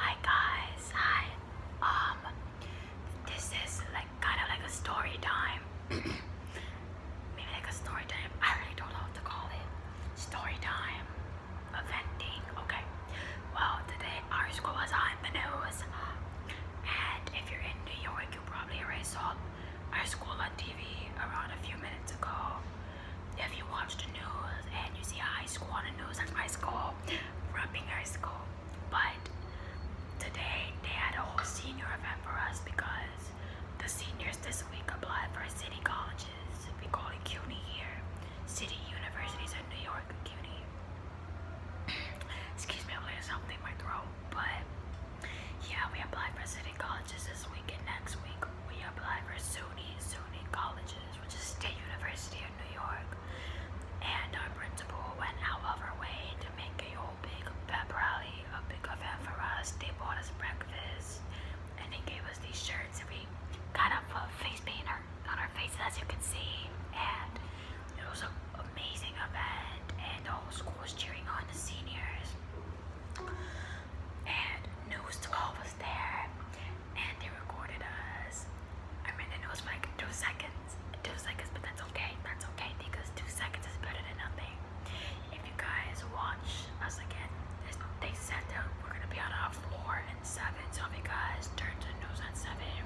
Hi guys, hi. Um, this is like kind of like a story time. Maybe like a story time. I really don't know what to call it. Story time, eventing. Okay. Well, today our school was on the news, and if you're in New York, you probably already saw our school on TV around a few minutes ago. If you watch the news and you see a high school on the news, that's my school, Rumping High School. But today they had a whole senior event for us because the seniors this week applied for city colleges. We call it CUNY here, city universities in New York, CUNY. Excuse me, I'm like something in my throat, but yeah, we applied for city colleges this week and next week we apply for SUNY, SUNY colleges which is State University of New York. And our principal went out of her way to make a whole big pep rally, a big event for us. They bought us breakfast and they gave us these shirts and we got up a face paint on our faces as you can see. And it was an amazing event and the whole school was cheering on the seniors. And news 12 there and they recorded us. I mean, it was like two seconds, two seconds, but that's okay. That's okay because two seconds is better than nothing. If you guys watch us again, they said that we're gonna be on our floor at seven. So if you guys turn the news at seven,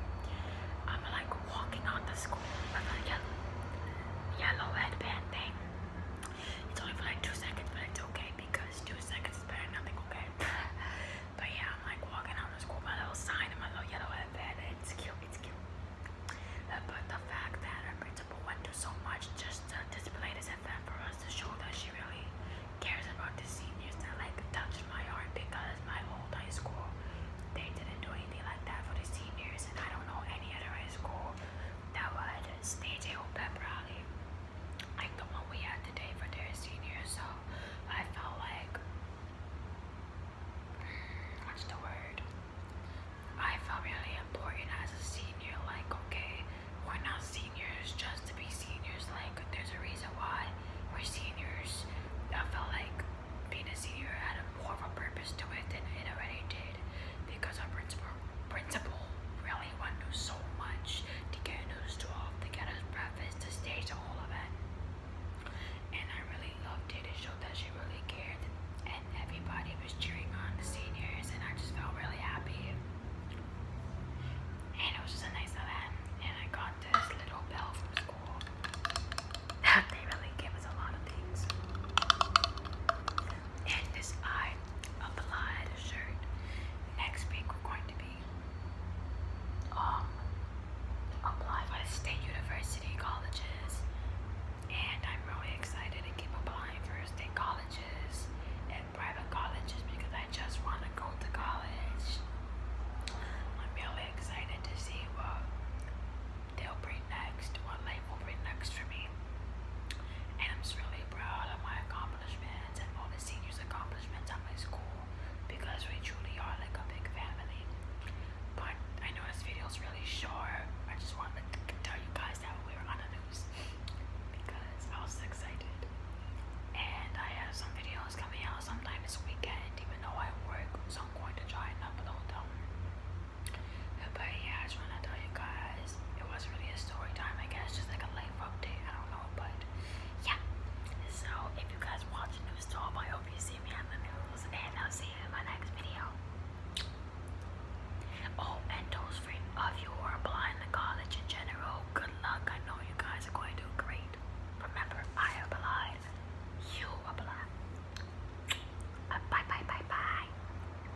I'm like walking on the school with a yellow, yellow headband thing. It's only for like two seconds, but it's okay because two seconds is better than nothing, okay? but yeah, I'm like walking out of school, my little sign and my little yellow headband. It's cute, it's cute. Uh, but the fact that her principal went through so much just to display this event for us to show that she really cares about the seniors that like touched my heart because my old high school they didn't do anything like that for the seniors and I don't know any other high school that would stage a whole pep rally like the one we had today for their senior. So I felt like, what's the word? I felt really important as a senior. Like, okay, we're not seniors just to be seniors. Like, there's a reason why we're seniors. I felt like being a senior had a more of a purpose to it than it already did because our principal principal really want to do so much to get us to all to get us breakfast to stage all of it. And I really loved it. It showed that she really cared and everybody was cheering on the seniors and I just felt really happy. And it was just a nice event. And I got this little bell from school. That they really give us a lot of things and this eye of shirt. Next week we're going to be um apply for state university colleges and I'm really excited to keep applying for state colleges and private colleges because I just want to go to college. I'm really excited to see what they'll bring next, what life will bring next for me. And I'm just really proud of my accomplishments and all the seniors' accomplishments at my school because we truly are like a big family. But I know this video is really short. I just wanted to tell you guys that we were on the news because I was excited. And I have some videos coming out sometime this weekend, even though I work, so I'm going to try and upload them. But yeah, I just want to tell you guys it was really a story time, I guess, just like a life update. I don't know, but yeah. So if you guys watch News Talk, I hope you see me on the news, and I'll see you in my next video. Oh, and those of you who are applying to college in general, good luck. I know you guys are going to do great. Remember, I applied. You apply. bye, bye, bye, bye.